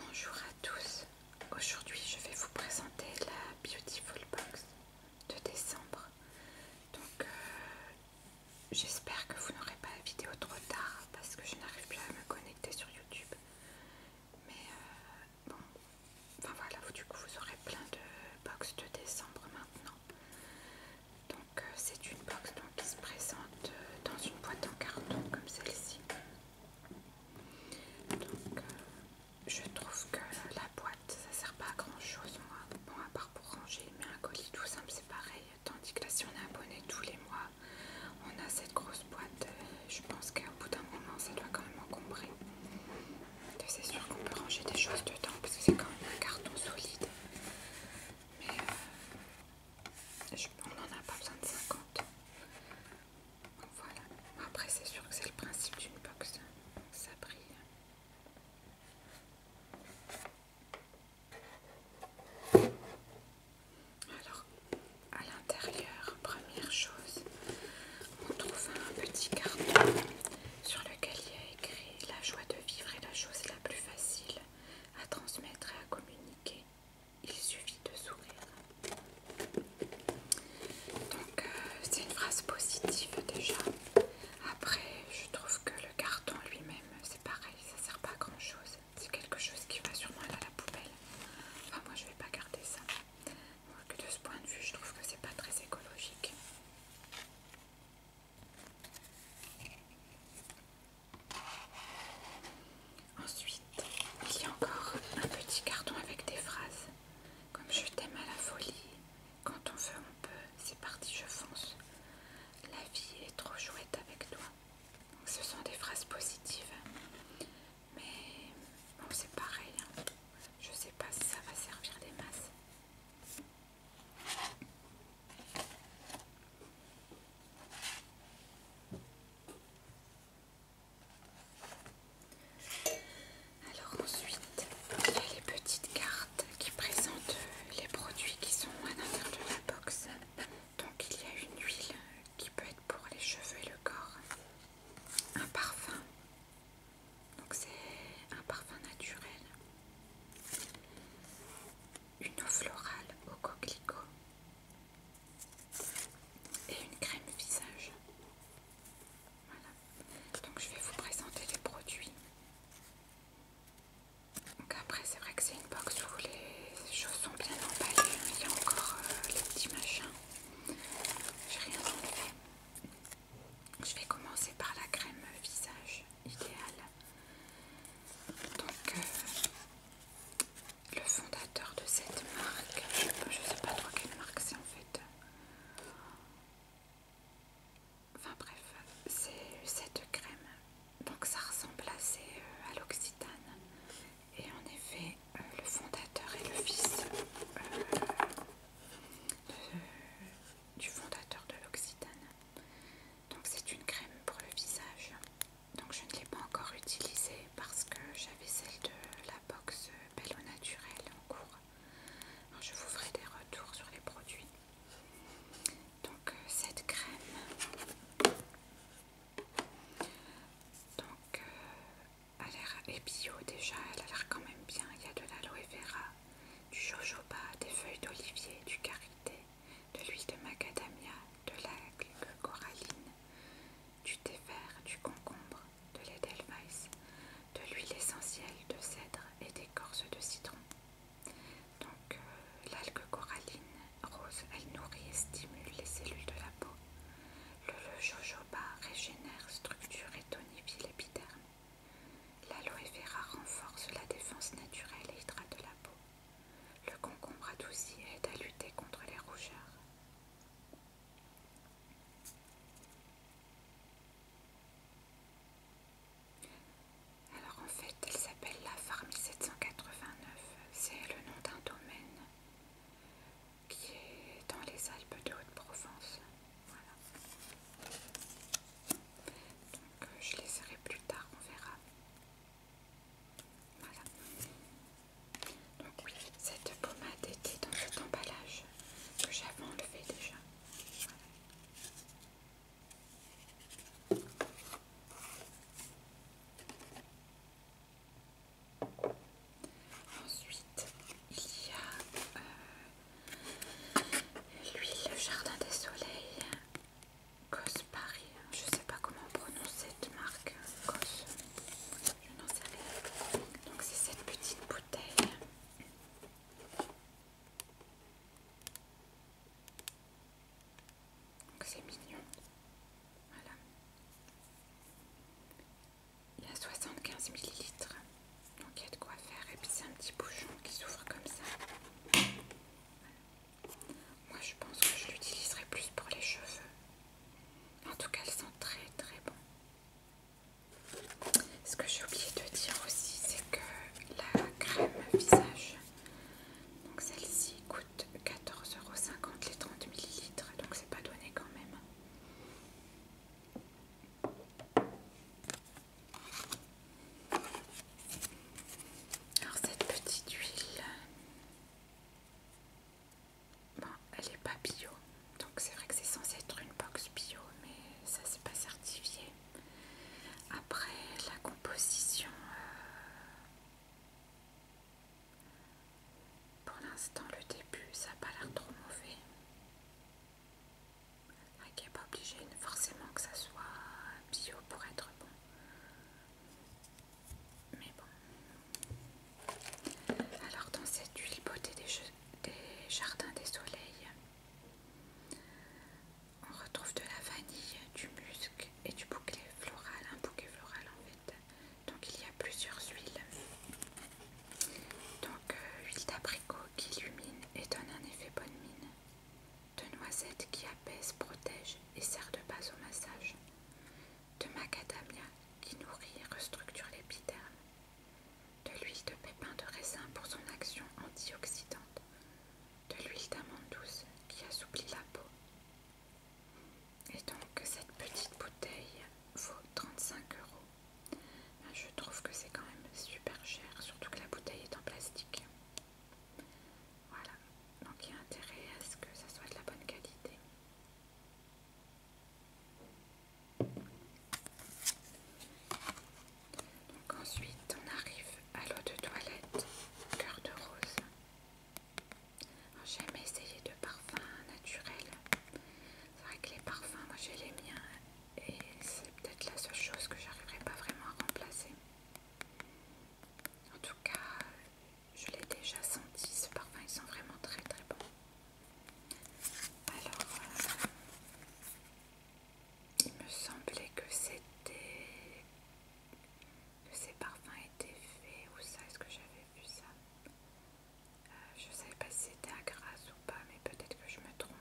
Bonjour à tous, aujourd'hui je vais vous présenter la Beautiful Box de décembre. Donc euh, J'espère que vous n'aurez pas la vidéo trop tard parce que je n'arrive plus à me connecter sur YouTube. Mais euh, bon, enfin voilà, du coup vous aurez plein de box de décembre maintenant. Donc euh, c'est une box qui se présente euh, dans une boîte en carton comme celle-ci. Donc je trouve que la boîte ça sert pas à grand chose moi. Bon pour ranger, mais un colis tout simple c'est pareil. Tandis que là, si on est abonné tous les mois, on a cette grosse boîte. Euh, je pense qu'à bout d'un moment, ça doit quand même encombrer. C'est sûr qu'on peut ranger des choses dedans parce que c'est quand même un carton solide. Mais euh, on n'en a pas besoin de 50. voilà. Après, c'est sûr que c'est le principe d'une box. Hein. Ça brille. Alors, à l'intérieur, première chose, on trouve un petit carton sur lequel il y a écrit La joie de vivre est la chose la plus facile à transmettre et à communiquer. Il suffit de sourire. Donc, euh, c'est une phrase positive déjà. Après, je trouve que le carton lui-même, c'est pareil, ça sert pas à grand chose. C'est quelque chose qui va sûrement aller à la poubelle. Enfin, moi je vais pas garder ça. de ce point de vue, je trouve que c'est pas très écologique. Ensuite, il y a encore un petit carton avec des phrases comme je t'aime à la folie, quand on veut, on peut. C'est parti, je fonce. La vie est trop chouette avec toi. ce sont des phrases positives. Mais c'est pareil. Hein. Je ne sais pas si ça va servir des masses. Alors ensuite, il y a les petites cartes qui présentent euh, les produits qui sont à l'intérieur de la box. Donc il y a une huile qui peut être pour les cheveux et le corps. Un parfum. Donc c'est un parfum naturel. Une eau florale au coquelicot. Et une crème visage. Voilà. Donc je vais vous présenter les produits. Donc après c'est vrai que c'est une box où les choses sont bien emballées. Il y a encore euh, les petits machins. J'ai rien enlevé. Je vais commencer par la crème visage idéale. Donc euh, le fondateur de cette marque, je ne sais pas trop quelle marque c'est en fait. Enfin bref, c'est cette crème, donc ça ressemble assez euh, à l'Occitane. Et en effet, euh, le fondateur est le fils euh, du fondateur de l'Occitane. Donc c'est une crème pour le visage. Donc je ne l'ai pas encore utilisée parce que j'avais celle de la box Bello Naturel en cours je vous ferai des retours sur les produits. Donc, euh, cette crème, donc, euh, elle a l'air bio déjà, elle a l'air quand même bien. Il y a de l'aloe vera, du jojoba, des feuilles d'olivier, du karité, de l'huile de macadamia, de la coralline, du thé vert, du concombre, de de l'huile essentielle de cèdre et d'écorce de citron. Donc euh, l'algue coralline rose, elle nourrit et stimule les cellules de la peau. Le, jojoba régénère, structure et tonifie l'épiderme. L'aloe vera renforce la défense naturelle et hydrate la peau. Le concombre adouci aide à lutter contre les rougeurs. Alors en fait, elle s'appelle la Farm 1789. C'est le nom d'un domaine qui est dans les Alpes de Haute-Provence. Voilà. Donc je euh, je laisserai plus tard, on verra. Voilà. Donc oui, cette pommade était dans cet emballage que j'avais enlevé déjà. Ensuite, il y a euh, l'huile Jardin des Soleils Cos Paris. Je ne sais pas comment on prononce cette marque. Cos. Je n'en sais rien. Donc c'est cette petite bouteille. Donc c'est mignon. Voilà. Il y a 75 ml. Donc il y a de quoi faire. Et puis c'est un petit bouchon qui s'ouvre comme ça. Moi je pense que je l'utiliserai plus pour les cheveux. En tout cas, elles sent très très bon. Ce que j'ai oublié de dire aussi, c'est que la crème visage, donc celle-ci coûte 14,50€ les 30 ml, donc c'est pas donné quand même. Alors cette petite huile, Bon, elle n'est pas bio, donc c'est vrai que c'est censé être une box bio, mais ça c'est pas certifié. Après la composition, euh, pour l'instant le début ça n'a pas l'air trop mauvais. Il n'est pas obligé forcément que ça soit bio pour être bon. Mais bon. Alors dans cette huile beauté des, jardins des soleils, on retrouve de la vanille, du musc et du bouquet floral, un bouquet floral en fait. Donc il y a plusieurs huiles. Donc euh, huile d'abricot qui illumine et donne un effet bonne mine. De noisette qui apaise, protège et sert de base au massage de macadamia qui nourrit et restructure l'épiderme, de l'huile de pépin de raisin pour son action antioxydante, de l'huile d'amande douce qui assouplit la peau. Et donc cette petite bouteille vaut 35 euros. Ben, je trouve que c'est quand même super cher, surtout que la bouteille est en plastique. Voilà, donc il y a intérêt à ce que ça soit de la bonne qualité ensuite on arrive à l'eau de toilette cœur de rose. J'ai essayer de parfum naturel. C'est vrai que les parfums, moi j'ai les miens et c'est peut-être la seule chose que j'arriverai pas vraiment à remplacer. En tout cas, je l'ai déjà senti, ce parfum, ils sont vraiment très très bons. Alors, il me semblait que c'était... que ces parfums étaient faits, ou ça, est-ce que j'avais vu ça euh, Je ne savais pas si c'était à grâce ou pas, mais peut-être que je me trompe.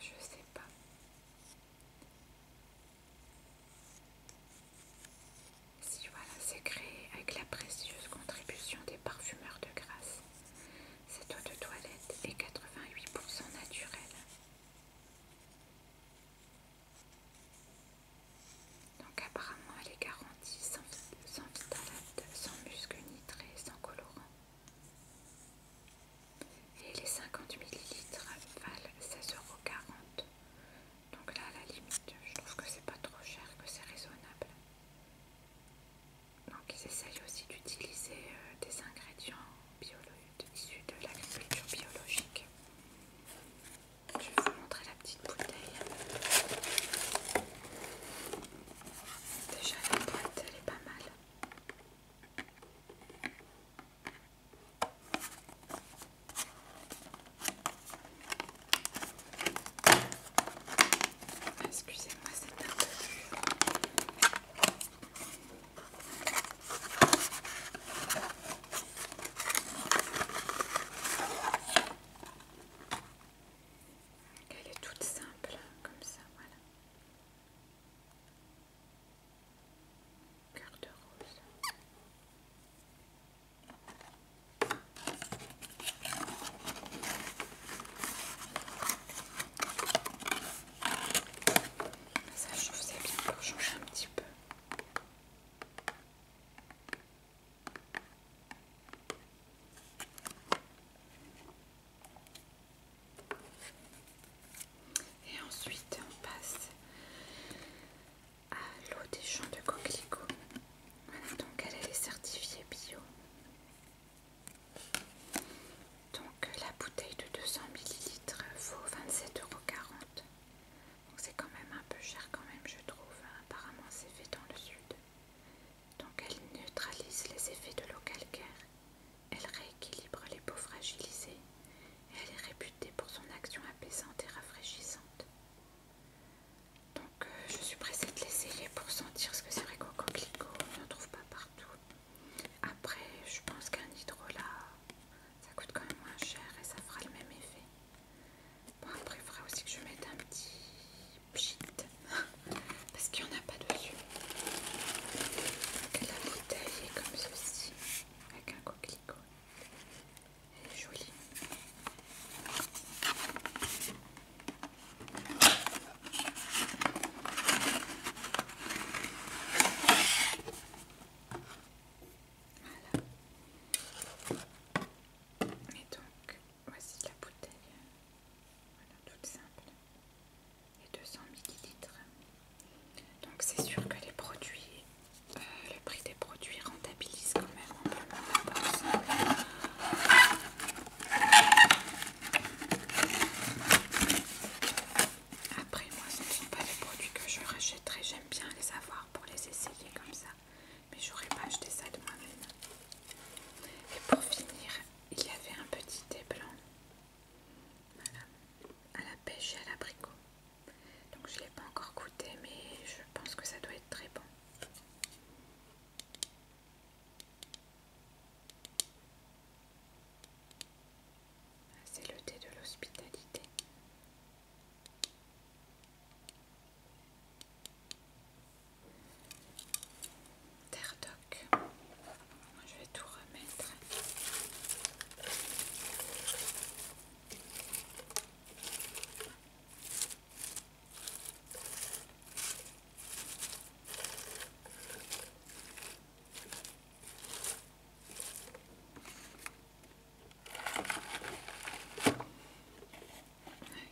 Je sais pas. Si voilà, c'est créé avec la précieuse contribution des parfumeurs de grâce. Cette eau de toilette est 88% naturelle. Donc apparemment elle est garantie sans, sans sans muscle nitré, sans colorant. Et les 50 ml valent 16,40€. Donc là à la limite je trouve que c'est pas trop cher, que c'est raisonnable. Donc ils essayent aussi d'utiliser euh, des ingrédients issus de l'agriculture biologique. Je vais vous montrer la petite bouteille. Déjà la boîte, elle est pas mal. Excusez-moi, c'est un peu dur. Elle est toute simple, comme ça, voilà. Cœur de rose. Ça, je faisais bien pour changer un petit peu. Et ensuite, on passe à l'eau des champs de coquelicot, donc elle, est certifiée bio. Donc la bouteille de 200 ml vaut 27,40 euros. Donc c'est quand même un peu cher quand même je trouve. Hein. Apparemment c'est fait dans le sud. Donc elle neutralise les effets de l'eau calcaire. Elle rééquilibre les peaux fragilisées. Et elle est réputée pour son action apaisante et rafraîchissante. Donc euh, je suis pressée de l'essayer pour sentir ce que c'est vrai qu'au coquelicot on n'en trouve pas partout. Après je pense qu'un hydrolat ça coûte quand même moins cher et ça fera le même effet. Bon, après, il faudra aussi que je mette un petit pchit parce qu'il n'y en a pas dessus. la bouteille est comme ceci avec un coquelicot. Elle est jolie. Voilà. Et donc, voici la bouteille. Voilà, toute simple. Et 200 millilitres. Donc c'est sûr que les produits, euh, le prix des produits rentabilise quand même après, moi, ce ne sont pas des produits que je rachèterai. J'aime bien les avoir pour les essayer comme ça. Mais j'aurais pas acheté ça de moi-même. Et pour finir, il y avait un petit thé blanc. À la pêche et à l'abricot. Donc je ne l'ai pas encore goûté, mais je pense que ça doit être très bon. Ah, c'est le thé de l'hospitalité. Terre Je vais tout remettre.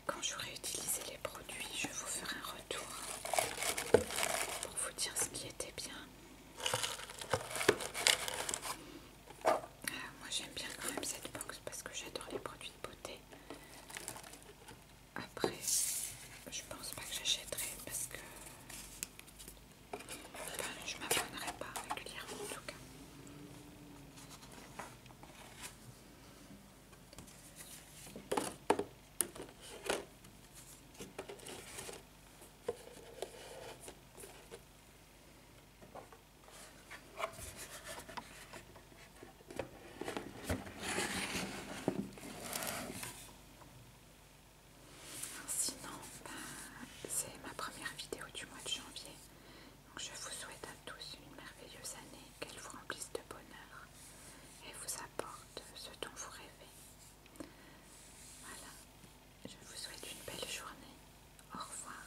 Quand j'aurai utilisé les produits, je vous ferai un retour pour vous dire ce qui était bien. Ah, moi j'aime bien quand même cette box parce que j'adore les produits de beauté. Après, je pense pas que j'achèterai parce que je ne m'abonnerai pas régulièrement en tout cas. Sinon, bah, c'est ma première vidéo du mois de janvier. je vous souhaite à tous une merveilleuse année, qu'elle vous remplisse de bonheur et vous apporte ce dont vous rêvez. Voilà, je vous souhaite une belle journée. Au revoir.